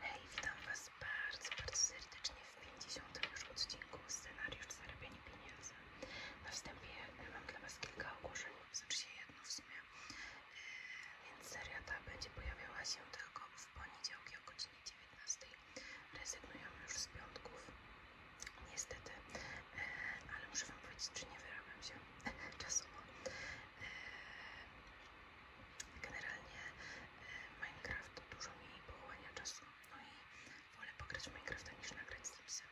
Hej, witam Was bardzo, bardzo serdecznie w 50. już odcinku Scenariusz Zarabiania Pieniędzy. Na wstępie e, mam dla Was kilka ogłoszeń, znaczy się jedno w sumie, e, więc seria ta będzie pojawiała się tylko w poniedziałki o godzinie 19. Rezygnujemy już z piątków, niestety, e, ale muszę Wam powiedzieć, że nie wyrabiam się czasowo. Generalnie y, Minecraft dużo mi pochłania czasu, no i wolę pograć Minecraft, Minecrafta niż nagrać Stripsy,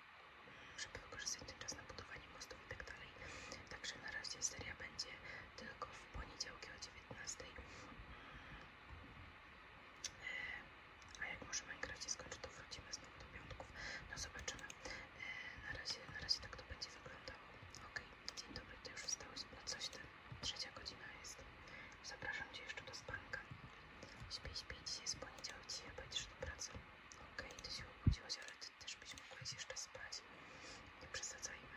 żeby wykorzystać ten czas na budowanie mostów i tak dalej. Także na razie seria będzie tylko w poniedziałki o 19. Y, a jak może Minecraft się skończy, to wrócimy znowu do piątków. No zobaczymy. Y, na razie, na razie tak to będzie wyglądało. Okej, dzień dobry, ty już wstałeś, no coś ty. Trzecia godzina jest. Zapraszam Cię jeszcze do spanka. Śpij, śpij. Dzisiaj jest poniedziałek, dzisiaj pojedziesz do pracy. Okej, okay, Ty się obudziłaś, ale Ty też byś mogłaś jeszcze spać. Nie przesadzajmy.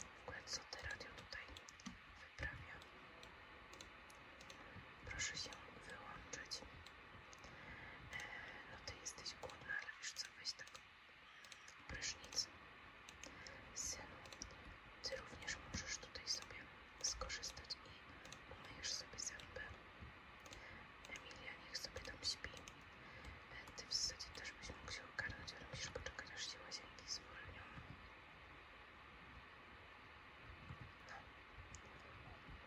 W ogóle co Ty radio tutaj wyprawia? Proszę się wyłączyć. E, no Ty jesteś głodna, ale wiesz co, weź tak prysznic. Synu, ty również możesz tutaj sobie skorzystać i umyjesz sobie zęby. Emilia niech sobie tam śpi. E, ty w zasadzie też byś mógł się ogarnąć, ale musisz poczekać aż się łazienki zwolnią. No,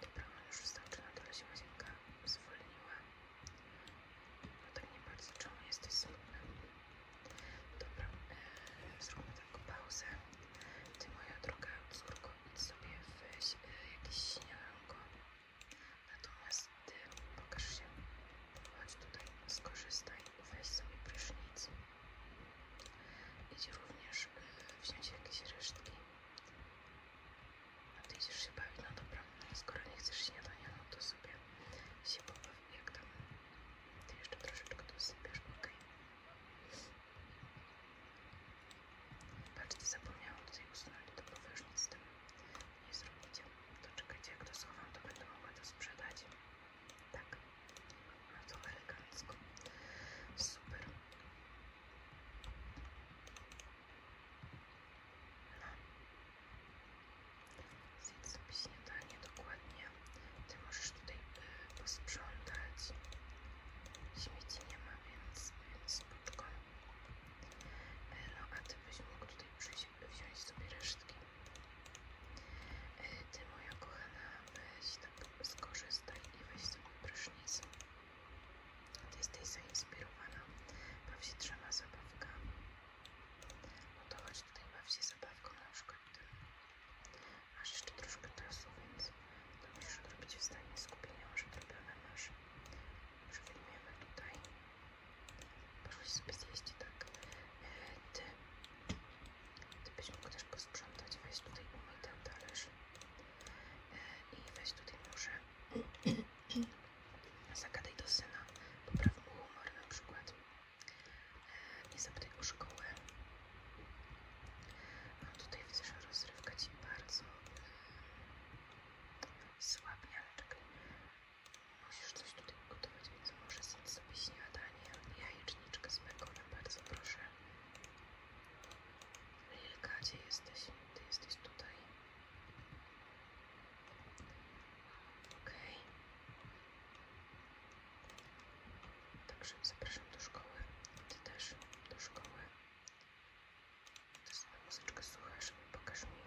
dobra, on już wstał, czy na dole łazienka zwolniła. No tak nie bardzo, czemu jesteś smutny? Dobra, e, zróbmy taką pauzę. Ty moja droga córko, idź sobie weź e, jakieś śniadanko. Natomiast ty pokaż się. Chodź tutaj, skorzystaj, weź sobie prysznic. Idź również e, wziąć jakieś resztki. A ty idziesz się bawić, no dobra, skoro nie chcesz śniadania, no to sobie się pobawić jak tam, ma. Ty jeszcze troszeczkę dosypiasz, ok? Patrzcie, zapomniałam tutaj usunąć to powierzchni z tym. Nie zrobicie. To czekajcie, jak to schowam, to będę mogła to sprzedać. Tak. No to elegancko. Super. No. Zjedz sobie dokładnie. Ty możesz tutaj y, posprzątać. Śmieci nie ma, więc, więc spoczko. no a ty byś mógł przyjść, wziąć sobie resztki. Y, ty moja kochana, weź tak skorzystaj i weź sobie prysznic. Ty jesteś zainspirowana. Baw się trzema zabawkami. No to chodź tutaj baw się zabawką na przykład tym. Masz jeszcze troszkę czasu, więc to musisz odrobić w stanie skupienia, może odrobione masz. Już wyjmiemy tutaj. Poszłaś sobie zjeść, tak. E, ty. Ty byś mógł też posprzątać. Weź tutaj umyj ten talerz. E, I weź tutaj może Zagadaj do syna, popraw mu humor na przykład. E, nie zapytaj o szkołę. Mam no, tutaj widzę, że rozrywka ci bardzo e, słabnie, ale czekaj. Musisz coś tutaj ugotować, więc może zjedz zrobić śniadanie. Jajeczniczkę z bekonem, bardzo proszę. Lilka, gdzie jesteś? Ty jesteś tutaj. Ok. Także zapraszam do szkoły. Ty też do szkoły. Też sobie muzyczkę słuchasz i pokaż mi.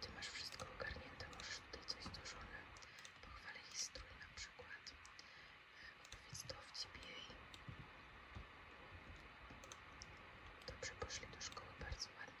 Ty masz wszystko ogarnięte, możesz tutaj coś do żony. Pochwalę jej strój na przykład. Opowiedz to w ciebie Dobrze, poszli do szkoły bardzo ładnie.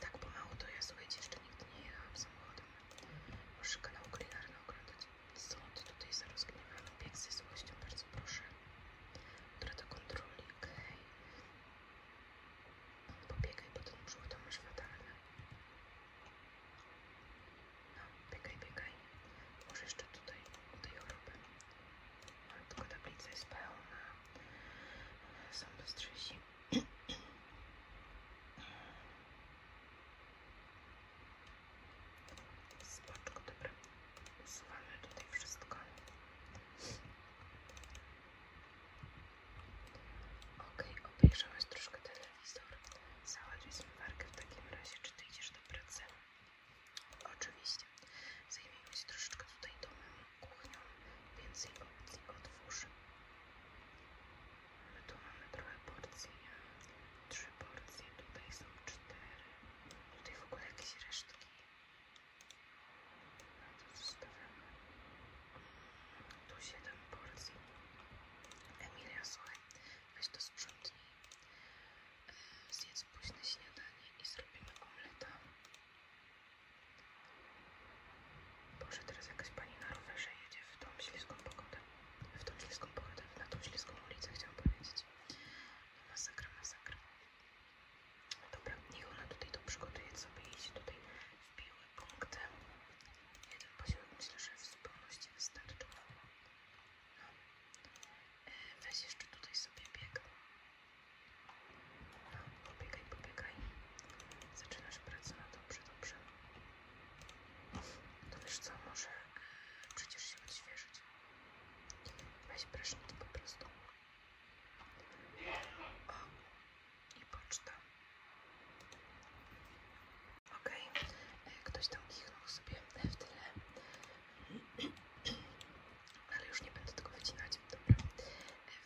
Tak pomału to ja słuchajcie, jeszcze nigdy nie jechałam samochodem. Muszę kanał kulinarny oglądać. Stąd tutaj za rozgniewaną bieg ze złością, bardzo proszę. Dobra, do kontroli, okej. Okay. No, pobiegaj, bo ten już, to masz fatalny. No, biegaj, biegaj. Może jeszcze tutaj, u tej choroby. No, tylko tablica jest pełna. Są dostrzeżone Spoczko, dobra. Usuwamy tutaj wszystko. Okej, okay, obejrzałeś troszkę telewizor. Załaduj zmywarkę w takim razie, czy ty idziesz do pracy? Oczywiście. Zajmijmy się troszeczkę tutaj domem kuchnią, więc jego plik otwórzy. tu mamy trochę porcji, trzy porcje, tutaj są cztery, tutaj w ogóle jakieś resztki. No zostawiamy. Mm, tu siedem porcji. Emilia, słuchaj, weź to sprzątnij. Zjedz późne śniadanie i zrobimy omleta. Boże, teraz jakaś pani na rowerze jedzie w tą śliską pogodę. W tą śliską pogodę, na tą śliską ulicę chciałam powiedzieć. No masakra, masakra. Dobra, niech ona tutaj to przygotuje sobie i się w wbiły punkty. Jeden poziom myślę, że w zupełności wystarczy. No. E, weź jeszcze tutaj sobie bieg. No, pobiegaj, pobiegaj. Zaczynasz pracę, no dobrze, dobrze. To no wiesz co, może przecież się odświeżyć. Weź prysznic po prostu. O, i poczta. Okej, okay. E, ktoś tam kichnął sobie w tyle. Ale już nie będę tego wycinać. Dobra, e,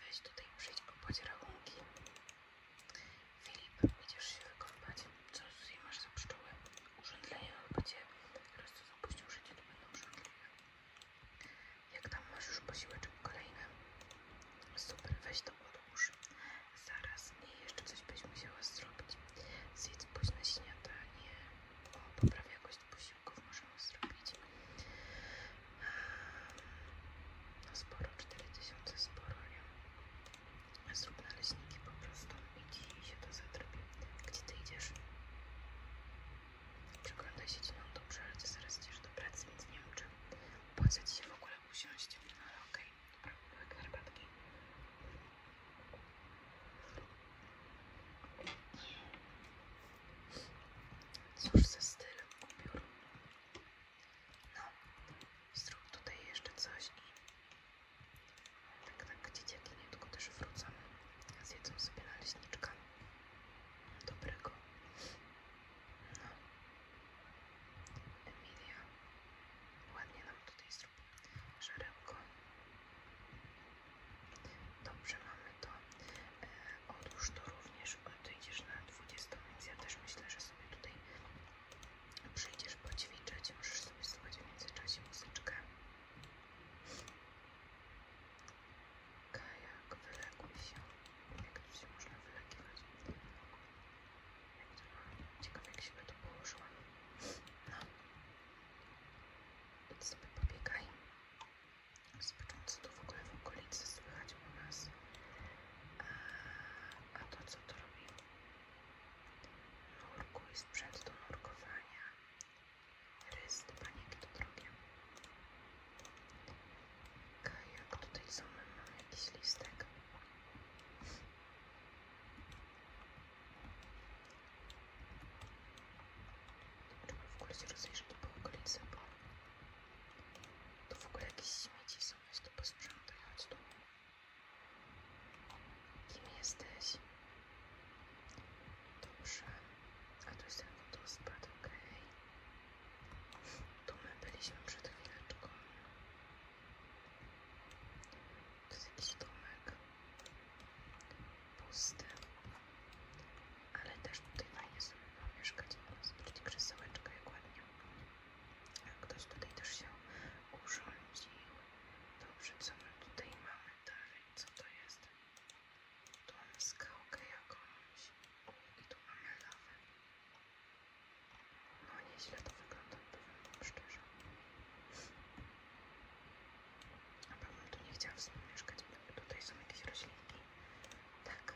weź tutaj przyjdź opłać rachunki. Filip, idziesz się wykąpać. Co z masz za pszczoły? Urzędleje chyba cię. Teraz co zapuścił życie, to będą urzędliwe. Jak tam masz już posiłek, posiłeczek kolejny? Super, weź to odłóż. Zaraz, nie, jeszcze coś byś musiała zrobić. Zjedz późne śniadanie. O, poprawia jakość posiłków możemy zrobić. No sporo, 4000 sporo, nie? Zrób naleśniki po prostu i ci się to zadrobi. Gdzie ty idziesz? Przeglądaj się ci nam no dobrze, że ty zaraz idziesz do pracy, więc nie wiem, czy opłaca ci się w ogóle usiąść. No ale okej, okay. dobra, herbatki. Cóż za styl ubiór. No, zrób tutaj jeszcze coś tak, tak, tak, nie tylko też wrócą. Zjedzą sobie naleśniczka dobrego. No. Emilia, ładnie nam tutaj zrób żarełko. Dobrze, mamy to. E, odłóż to również ty idziesz na 20, więc ja też myślę, że sobie tutaj przyjdziesz poćwiczyć, możesz sobie słuchać w międzyczasie muzyczkę. Kajak, wyleguj się. Jak tu się można wylegiwać? Jak to mam? jak się by tu położyłam. No. Idź sobie pobiegaj. Zobacząc, co tu w ogóle w okolicy słychać u nas. A, a to co to robi? Nurkuj sprzęt do nurkowania. Rys do paniki to drogie. Kajak, tutaj co mamy? Jakiś listek. Trzeba w ogóle się rozejrzeć po okolicy, bo to w ogóle jakieś śmieci są, weź to posprzątaj, chodź tu. Kim jesteś? Dobrze. A tu jest ten wodospad, okej. Okay. Tu my byliśmy przed chwileczką. To jest jakiś domek. Pusty ale też tutaj fajnie sobie pomieszkać. Zobaczcie krzesełeczka jak ładnie. Ktoś tutaj też się urządził. Dobrze, co my tutaj mamy dalej? Co to jest? Tu mamy skałkę jakąś. I tu mamy lawę. No nieźle to wygląda, powiem wam szczerze. Na pewno tu nie chciała w mieszkać, bo tutaj są jakieś roślinki. Tak,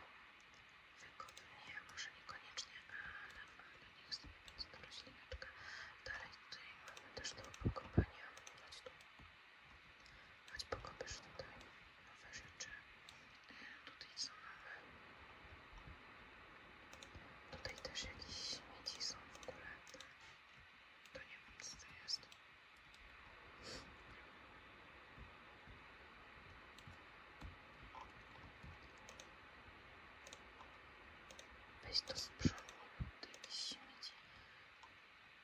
wygodnie, może niekoniecznie, ale, ale niech sobie jest ta roślineczka. Dalej tutaj mamy też do pokopania. Chodź tu. Chodź pokopiesz tutaj nowe rzeczy. E, tutaj co mamy? Tutaj też jakieś śmieci są w ogóle. To nie wiem co to jest. Weź to sprzątnij, tu jakieś śmieci.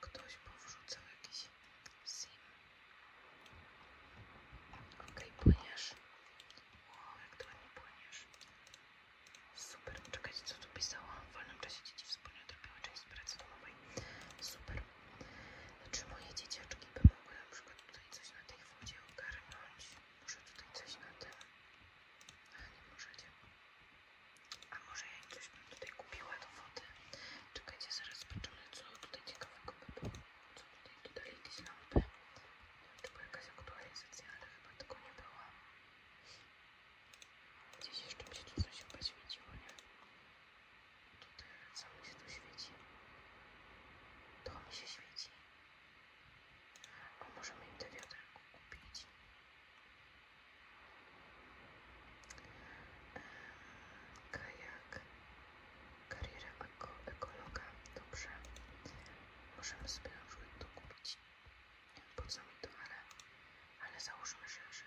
Ktoś powrzucał jakieś sim. Ok, okay, płyniesz. O, jak to ładnie płyniesz. Super, czekajcie co tu pisało. W wolnym czasie dzieci wspólnie odrobiły część pracy domowej. Super. Czy moje dzieciaczki by mogły na tutaj coś na tej wodzie ogarnąć? Może tutaj coś na tym? A nie możecie. A może ja im coś bym tutaj kupiła do wody? Czekajcie, zaraz zobaczymy, co tutaj ciekawego by było. Co tutaj dodali jakieś lampy? Nie wiem, czy była jakaś aktualizacja, ale chyba tego nie była. Gdzieś jeszcze mi się coś chyba nie? tutaj co mi się tu świeci? To mi się świeci. A możemy im te wiaderko kupić. Kajak. Kariera eko, ekologa. Dobrze. Możemy sobie na przykład to kupić. Nie wiem po co mi to, ale, załóżmy że, że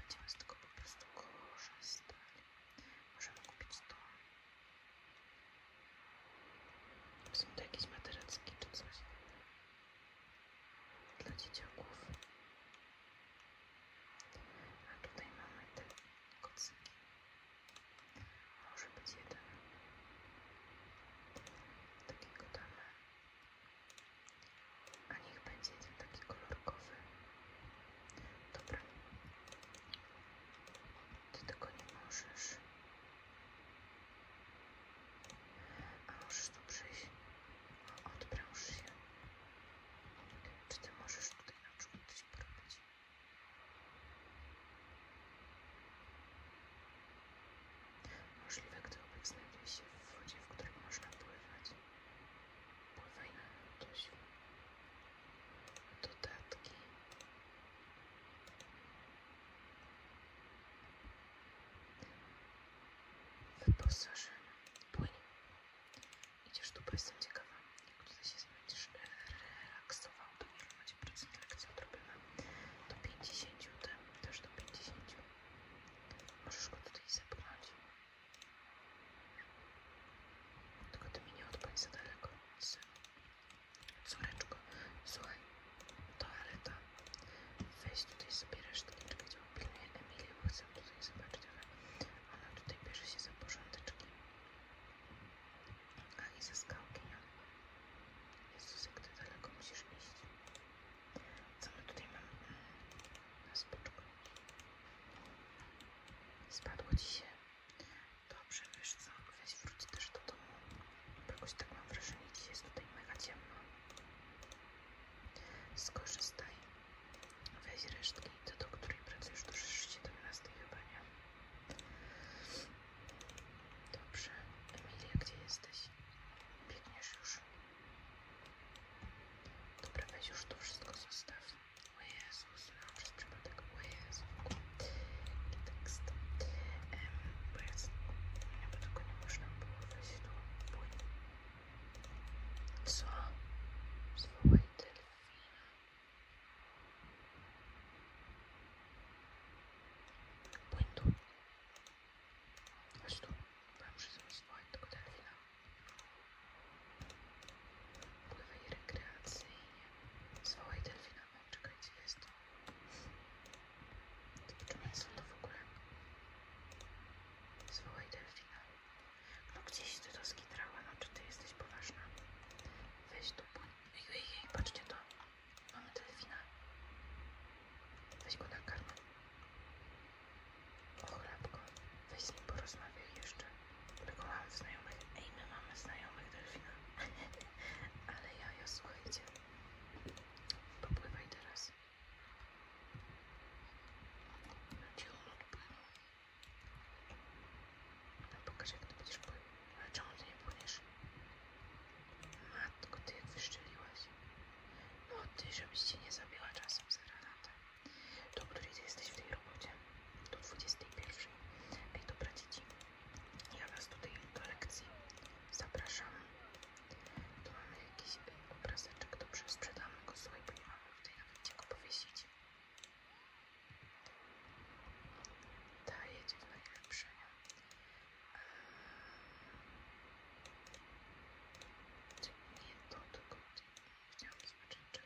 będziemy z tego po prostu korzystać. Możemy kupić to. Są to jakieś materacki czy coś dla dzieciaków. A tutaj mamy te kocyki. Może być jeden. Takiego damy. A niech będzie jeden taki kolorkowy. Dobra. Ty tego nie możesz. A możesz tu przyjść. odpręż się. Czy ty możesz tutaj na przykład coś porobić? Możliwe, gdy obiekt znajduje się w wodzie, w której można pływać. Pływaj na to siłę dodatki. W Płyń. Idziesz tu, bo jestem ciekawa, jak tutaj się będziesz e, relaksował. To ile macie procent lekcji odrobimy? Do 50, też do 50. Możesz go tutaj zepchnąć. Tylko ty mnie nie odpań za daleko, synu. Córeczko, słuchaj, toaleta. Weź tutaj sobie reszteczkę, gdzie pilnie Emilię, bo chcę tutaj zobaczyć, ona tutaj bierze się za porządeczki. A i ze skałki. Jezus, jak ty daleko musisz iść. Co my tutaj mamy? Mm, na spoczku. Spadło dzisiaj. Dobrze, wiesz co, weź wróć też do domu. Jakoś tak mam wrażenie, dziś jest tutaj mega ciemno. Skorzystaj. Weź resztki. Ty, do której pracujesz do 17 chyba, nie? Dobrze. Emilia, gdzie jesteś? Biegniesz już. Dobra, weź już to wszystko zostaw. O Jezus, miałam przez przypadek. O Jezu, jaki tekst. Ehm, bo jest, ja by tego nie można było wejść tu. Pójdę. Co? Zwołaj delfina. Pójdź tu. Pływaj rekreacyjnie. Zwołaj delfina. O, czekaj, gdzie jest? Zobaczymy, co to w ogóle. Zwołaj delfina. No gdzieś ty to skitrała, no czy ty jesteś poważna? Weź tu płyń. Ej, ej, ej, patrzcie to. Mamy delfina. Weź go na karmę. Ochlapko. Weź z nim jeszcze. bo mamy znajomych. Ej, my mamy znajomych delfina. Ale ja, ja słuchajcie. Popływaj teraz. Gdzie on odpłynął? No pokaż jak ty będziesz pływał. Ale czemu ty nie płyniesz? Matko, ty jak wyszczeliłaś. No ty, żebyś cię nie zabiła czasem za granatę. Do której ty jesteś w tej robocie? Do 21. Ej, dobra dzieci, ja was tutaj do lekcji zapraszam. Tu mamy jakiś y, obrazeczek, dobrze, sprzedamy go, sobie, bo nie mamy tutaj nawet gdzie go powiesić. Ta jedzie w najlepsze. Nie to, tylko chciałam zobaczyć, czy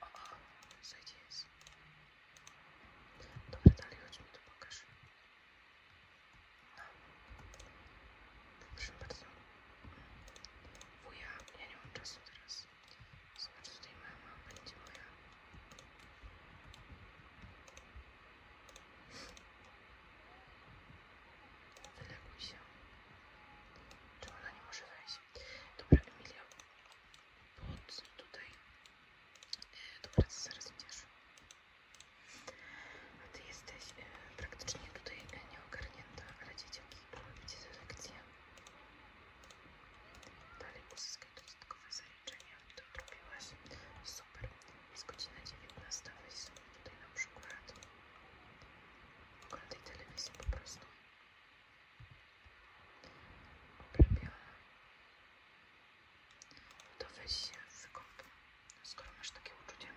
o, o, zajdzie jest. Dobra, dalej chodź mi tu pokaż. No. Proszę bardzo. Wuja, ja nie mam czasu teraz. Zobacz, tutaj mama będzie moja. Wyleguj się. Czy ona nie może wejść? Dobra, Emilia, pod tutaj e, do pracy zaraz A ty jesteś e, praktycznie tutaj e, nieogarnięta, ale dzieciaki porobicie selekcję. Dalej uzyskaj dodatkowe zaliczenia. To robiłaś. Super. Jest godzina 19. Weź sobie tutaj na przykład oglądaj telewizję po prostu. Uwielbiona. To weź się wykąp, skoro masz takie uczucie.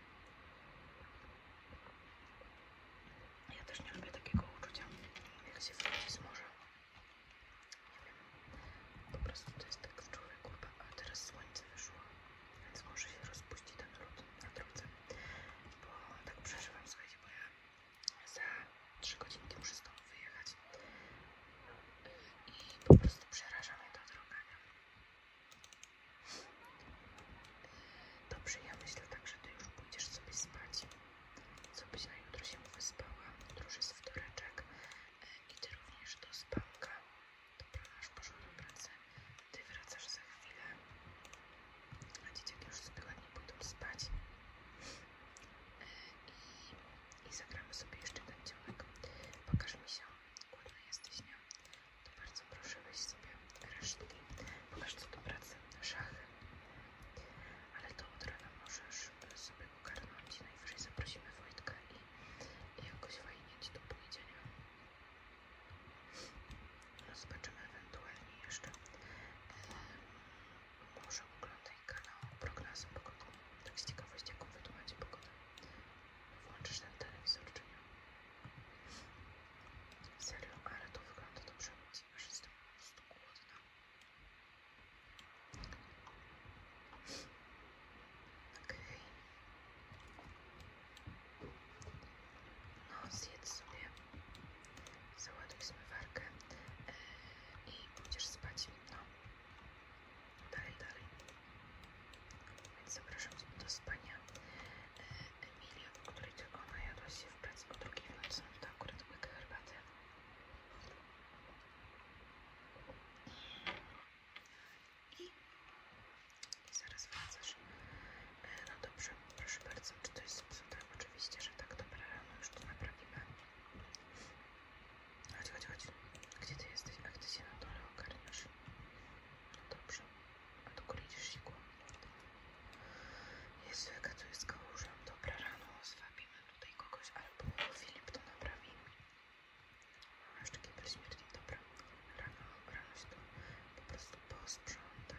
Ja też nie lubię takiego uczucia, jak się wróci z morza. Nie wiem, po prostu to jest tak w człowieku, a teraz słońce wyszło, więc może się rozpuści ten lód na drodze, bo tak przeżywam, słuchajcie, za 3 godzinki muszę stąd wyjechać i po prostu przerażamy to ta Dobrze, ja myślę tak, że ty już pójdziesz sobie spać, co byś na jutro się wyspała, jutro już jest wtoreczek i ty również do spanka. Dobra, aż poszła do pracy, ty wracasz za chwilę a dzieciaki już sobie ładnie pójdą spać e, i, i zagramy sobie jeszcze ten dzionek. Pokaż mi się, głodna jesteś, nie? To bardzo proszę weź sobie resztki, pokaż co do pracy, szachy, ale to od rana możesz sobie ogarnąć, najwyżej zaprosimy Wojtka i, i jakoś fajnie Ci to pójdzie, Zobaczymy ewentualnie jeszcze. Yy, może oglądaj kanał prognozy pogody. Tak z ciekawości, jaką wy tu macie pogodę. Włączysz ten telewizor, czy nie? Serio, ale to wygląda dobrze. Już jestem po prostu głodna. Okej. Okay. No, zjedz sobie Załaduj zmywarkę e, i pójdziesz spać. No, dalej, dalej. Więc zapraszam do spania. E, Emilia, o której tylko najadłaś się w pracy o drugiej w nocy, to akurat łyka herbaty. I zaraz wracasz. No dobrze, proszę bardzo, czy to jest zepsute? Oczywiście, że tak, dobre rano już to naprawimy. Chodź, chodź, chodź. Gdzie ty jesteś? A gdy się na dole ogarniasz? No dobrze. A do góry idziesz sikło. Jezu, jaka tu jest kałuża. Dobra, rano zwabimy tutaj kogoś, albo Filip to naprawi. A jeszcze kibel śmierci. dobre rano, rano się to po prostu posprząta.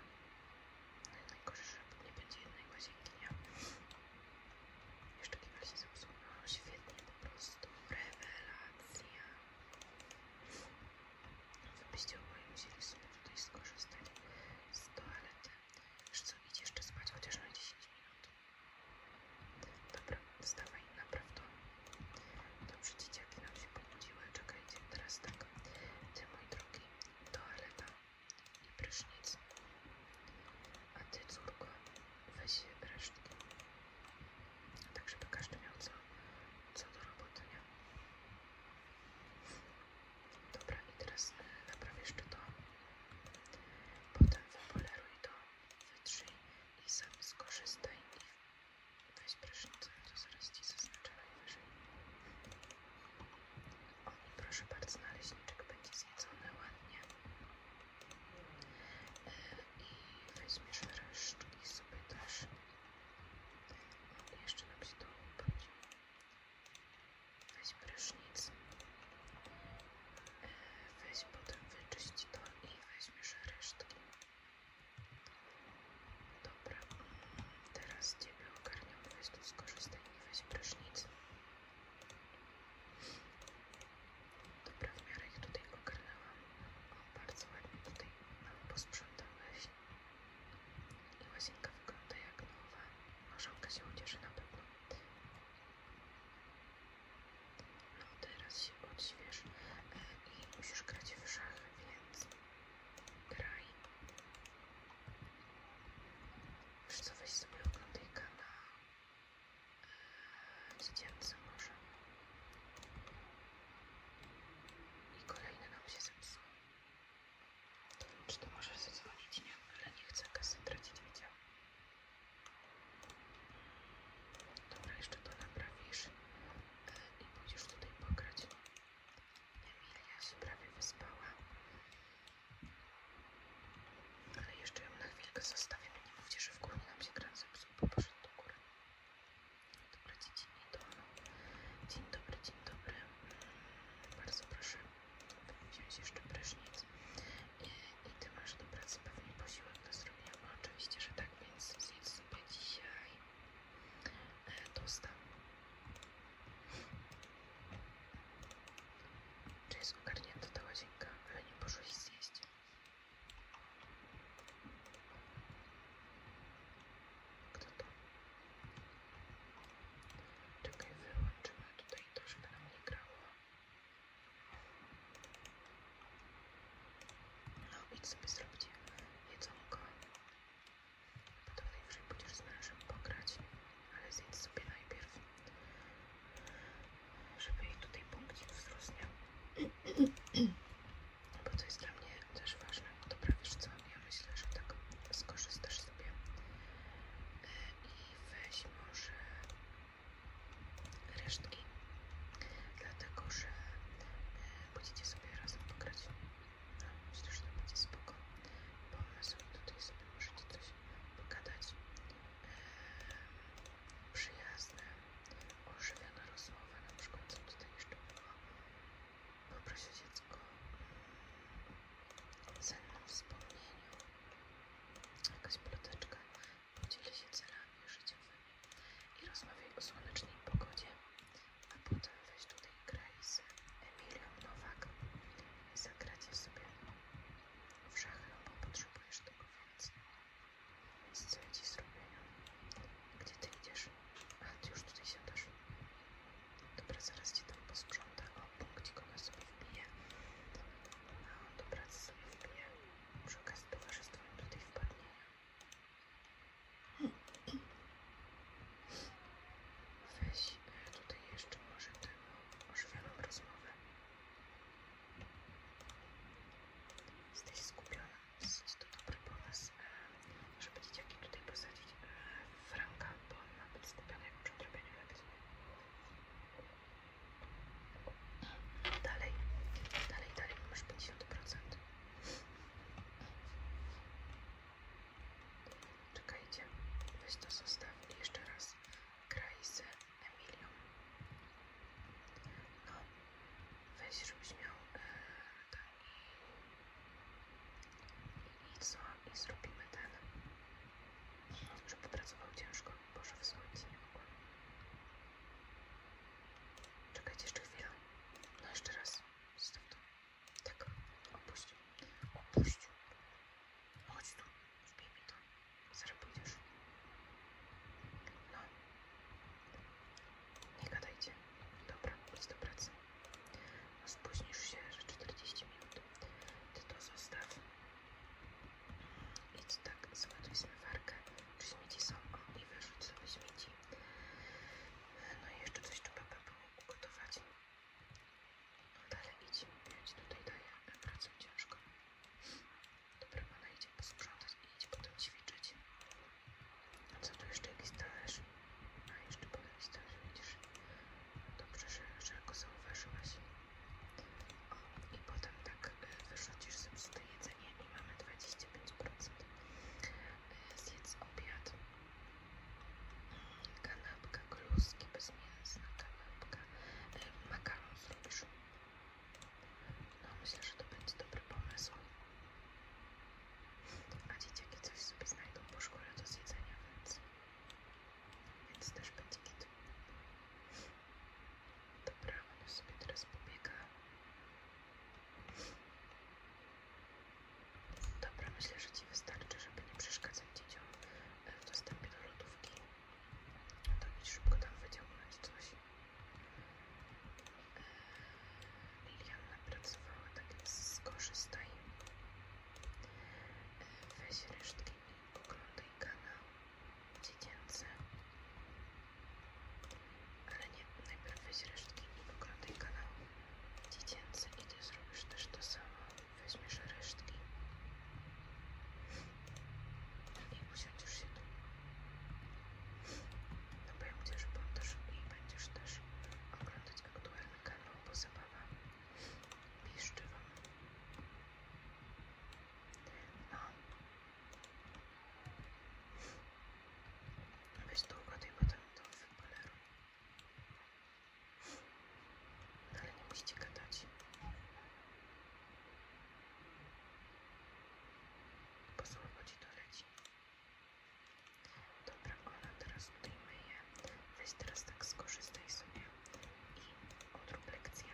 Najgorsze, że nie będzie jednej łazienki, nie? Jeszcze kibel się zepsuł. No świetnie, po prostu rewelacja. No wy byście oboje musieli sobie tutaj skorzystać z toalety. Wiesz co, idź jeszcze spać, chociaż na 10 minut. Dobra, wstawaj, naprawdę. Dobrze, dzieciaki nam się pobudziły. Czekajcie, teraz tak. Ty, mój drugi toaleta i prysznic. A ty, córko, weź resztki. Tak, żeby każdy miał co, do roboty, nie? Dobra, i teraz e, napraw jeszcze to. Potem wypoleruj to, wytrzyj i sam skorzystaj i weź prysznicę, to zaraz ci zaznaczę najwyżej. Proszę bardzo, naleśniczek będzie zjedzony ładnie. E, I weźmiesz resztki sobie też. Jeszcze nam się to upić. Weź prysznic. E, weź potem wyczyść to i weźmiesz resztki. Dobra, teraz Ciebie ogarniam, weź tu skorzystaj i weź prysznic. Dobra, w miarę ich tutaj ogarnęłam. O, bardzo ładnie tutaj mam posprzątałeś. I łazienka wygląda jak nowa. Marzałka się ucieszy na pewno. No teraz się odśwież e, i musisz grać w szachy, więc graj. Wiesz co, weź sobie oglądaj na eee, może. I kolejny nam się zepsuł. Czy to możesz zadzwonić? Nie, ale nie chcę kasy tracić, Dobra, jeszcze to naprawisz eee, i pójdziesz tutaj pograć. Emilia się prawie wyspała. Ale jeszcze ją na chwilkę zostawimy. Nie mówcie, że w górę nam się kran zepsuł, bo poszedł do góry. Dobra, Dzień dobry, dzień dobry. Bardzo proszę wziąć jeszcze prysznic. I, I ty masz do pracy pewnie posiłek do zrobienia. Oczywiście, że tak, więc zjedz sobie dzisiaj tostem. Czy jest ogarnięta ta łazienka, ale nie poszłeś zjeść? Kto wyłączymy tutaj to, żeby nam nie grało. No, idź sobie zrobić jedzonko. To najwyżej pójdziesz z mężem pograć, ale zjedz sobie najpierw, żeby jej tutaj punkcik wzrósł, Bo to jest dla mnie też ważne. Dobra, wiesz co? Ja myślę, że tak skorzystasz sobie e, i weź może resztki, dlatego że będziecie e, sobie razem pograć. Myślę, że to będzie spoko pomysł i tutaj sobie możecie coś pogadać. przyjazne, ożywiona rozmowa, na przykład co tutaj jeszcze było. Poproś o dziecko o cennym wspomnieniu. Jakaś ploteczka, podzielę się celami życiowymi i rozmawiaj o słonecznej pogodzie a potem weź tutaj Grace Emilią Nowak i zagracie sobie w szachy, bo potrzebujesz tego więcej. Więc co ja ci zrobienia? Gdzie ty idziesz? A, ty już tutaj siadasz. Dobra, zaraz ci tam posprząta. O, punkcik ona sobie wbije. No, dobra, sobie wbije. Przy okazji towarzystwo im tutaj wpadnie. Weź tutaj jeszcze może tego ożywioną rozmowę. Jesteś skupiona. Dosyć to dobry pomysł. E, może powiedzieć, jaki tutaj posadzić e, Franka, bo on ma być skupiony przy odrobieniu lekcji. Dalej, dalej, dalej, masz 50%. Czekajcie, weź to zostaw jeszcze raz graj z Emilią. No, weź, żebyś miał e, i, co? I zrobimy ten, że popracował ciężko. Boże, wysłać nie mogłam. Czekajcie jeszcze chwilę. No jeszcze raz. Zostaw to. Tak, opuść. Opuść. Chodź tu, wbij mi to. Zaraz No. Nie gadajcie. Dobra, idź do pracy. No spóźnisz się, że 40 minut. Ty to zostaw. Idź tak, zładuj zmywarkę. Czy śmieci są? O, i wyrzuć sobie śmieci. No i jeszcze coś trzeba by było ugotować. Dalej idź, mieć tutaj daje pracę ciężko. Dobra, idź idzie posprzątać i idź potem ćwiczyć. A co tu jeszcze jakiś talerz? A jeszcze był jakiś talerz, widzisz? Dobrze, że, że go zauważyłaś. O, i potem tak e, wyrzucisz zepsute jedzenie i mamy 25%. E, zjedz obiad. Kanapka, kluski bez mięsa, kanapka. Yy, e, z zrobisz. No myślę, że to będzie dobry pomysł. A dzieciaki coś sobie znajdą po szkole do zjedzenia, więc, więc też będzie kit. Dobra, ona sobie teraz pobiega. Dobra, myślę, że Ci wystarczy, żeby nie przeszkadzać dzieciom e, w dostępie do lodówki. No to idź szybko tam wyciągnąć coś. E, Liliana pracowała, tak więc skorzystaj. E, weź resztki i oglądaj kanał dziecięcy. Ale nie, najpierw weź resztki i oglądaj kanał dziecięce i ty zrobisz też to samo. Weźmiesz resztki i usiądziesz się tu. Naprawdę, że poddasz i będziesz też oglądać aktualne kanał, bo zabawa piszczy wam. No. Weź długo tej potem to wypoleruj. Ale nie musicie gadać. Po słowo to leci. Dobra, ona teraz tutaj je. Weź teraz tak skorzystaj sobie i odrób lekcję.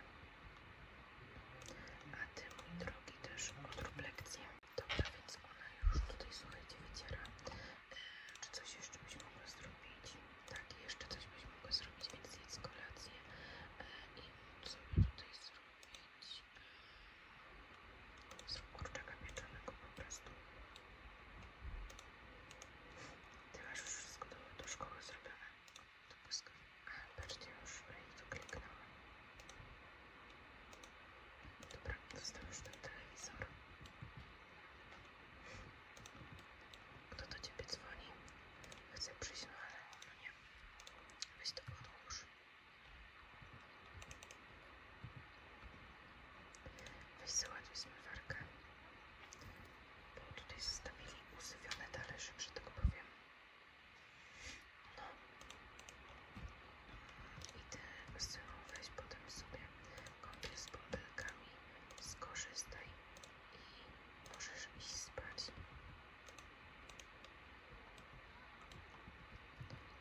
A ty, mój drogi, też odrób lekcję. Dobra, więc ona już tutaj, słuchajcie, wyciera czy coś jeszcze byś mogła zrobić? Tak, jeszcze coś byś mogła zrobić, więc jedz kolację e, i sobie tutaj zrobić zrób kurczaka pieczonego po prostu. Ty masz już wszystko do, do szkoły zrobione. To błyskawica. Patrzcie już, i tu kliknęłam. Dobra, dostał już ten telewizor. Kto do ciebie dzwoni? Chcę przyjść, no ale no nie. Weź to podłóż. Weź załatwij zmywarkę. Bo tutaj zostawili usywione talerze, że tak powiem. No. I ty z weź potem sobie kąty z butelkami, skorzystaj i możesz iść spać.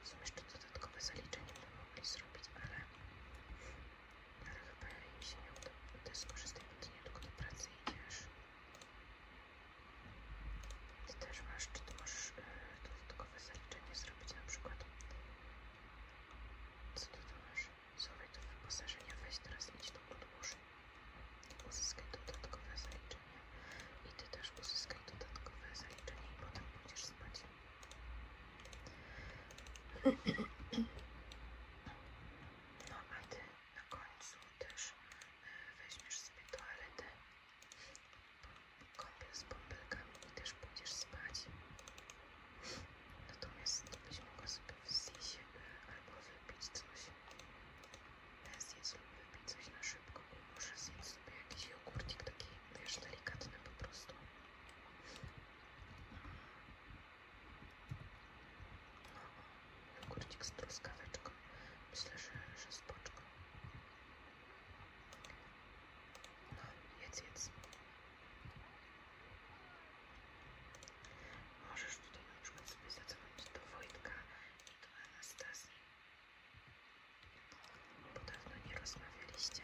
Są jeszcze dodatkowe zaliczenia, które mogli zrobić, ale, chyba im się nie uda. Ty skorzystaj, bo ty nie tylko do pracy idziesz. Ty też masz, czy możesz e, dodatkowe zaliczenie zrobić na przykład co ty tu masz? Zobacz do wyposażenia, weź teraz idź to podłóż. Uzyskaj dodatkowe zaliczenie. I ty też uzyskaj dodatkowe zaliczenie i potem pójdziesz spać. No a ty na końcu też e, weźmiesz sobie toaletę kąpiel z bąbelkami i też pójdziesz spać. Natomiast to byś mogła sobie wznieść e, albo wybić coś. Ja lub wybić coś na szybko. Może zjedz sobie jakiś jogurtik taki, wiesz, delikatny po prostu. No, jogurcik z truskaweczką. Myślę, że, że z No, jedz, jedz. Możesz tutaj na przykład sobie zadzwonić do Wojtka i do Anastazji. Bo dawno nie rozmawialiście.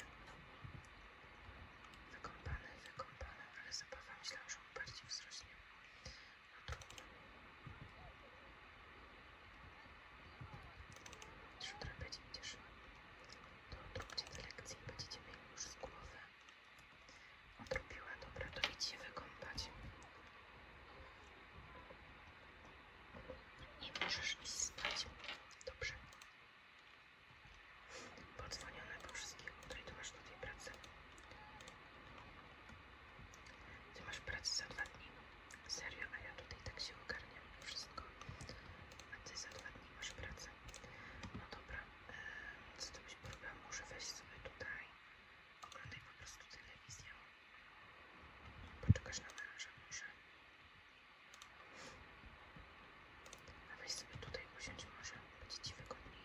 Wykąpane, wykąpane, ale zabawa myślałam, że on bardziej wzrośnie. No trudno. Czy trapiać idziesz? to odróbcie te lekcje i będziecie mieli już z głowy. Odrobiła, dobra, to idź się wykąpać. I możesz iść spać. Dobrze. Podzwonione po wszystkich, której ty masz do tej pracy. Ty masz pracę za dwa dni. Serio, a ja tutaj tak się ogarniam i wszystko a ty za dwa dni masz pracę. No dobra, yy, z tym się problem, muszę wejść sobie tutaj, oglądaj po prostu telewizję, poczekasz na męża, muszę. A weź sobie tutaj usiądź może, będzie ci wygodniej.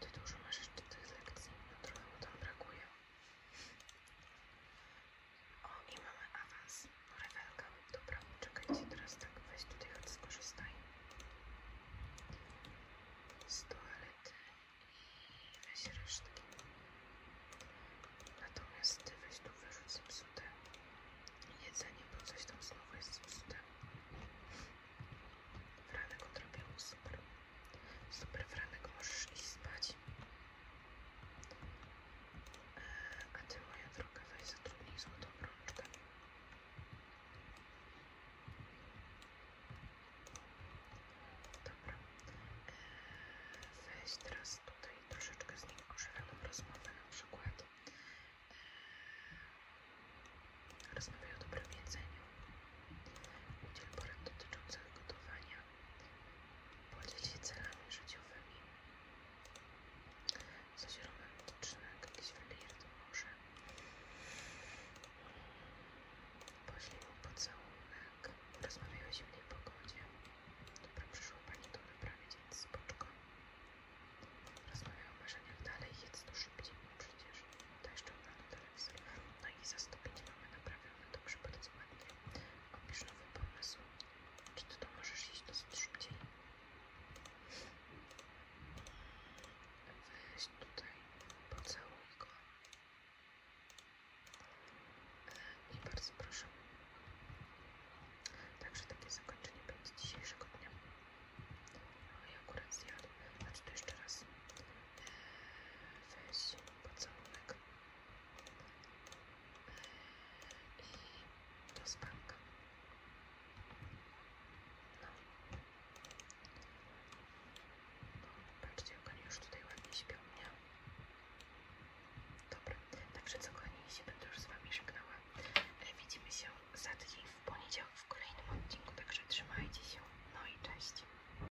Ty dużo masz jeszcze tych lekcji, no trochę mu tam brakuje. O, i mamy awans. rewelka. Dobra, czekajcie teraz tak. Weź tutaj, choć skorzystaj. Z toalety i weź resztki. Natomiast ty weź tu wyrzuć zepsute jedzenie, bo coś tam znowu jest zepsute. Franek odrobił super. Super, Franek, możesz iść spać. E, a ty, moja droga, weź zatrudnij złotą rączkę. Dobra. E, weź teraz tutaj troszeczkę z nim ożywioną rozmowę, na przykład e, rozmawiaj o dobrym jedzeniu, udziel porad dotyczących gotowania, Podziel się celami życiowymi. Coś romantycznego, jakiś wylirt może. Poślij mu pocałunek. Rozmawiaj o zimnej pogodzie. Dobra, przyszła Pani do naprawy, więc spoczko. Rozmawiaj o marzeniach dalej, jedz to szybciej, bo przecież to jeszcze ogląda telewizor. No i za mamy naprawę Dobrze, powiedz ładnie. Opisz nowy pomysł. Czy ty to możesz iść do szybciej? Weź tutaj, pocałuj go. E, I bardzo proszę. Także takie zakończenie będzie dzisiejszego dnia. No i akurat zjadł. Znaczy to jeszcze raz. E, weź pocałunek i do spanka. No. no. Patrzcie, jak oni już tutaj ładnie śpią, nie? Dobra, także co kochani, się będę już z Wami żegnała. E, widzimy się za tydzień w poniedziałek w kolejnym odcinku, także trzymajcie się. No i cześć.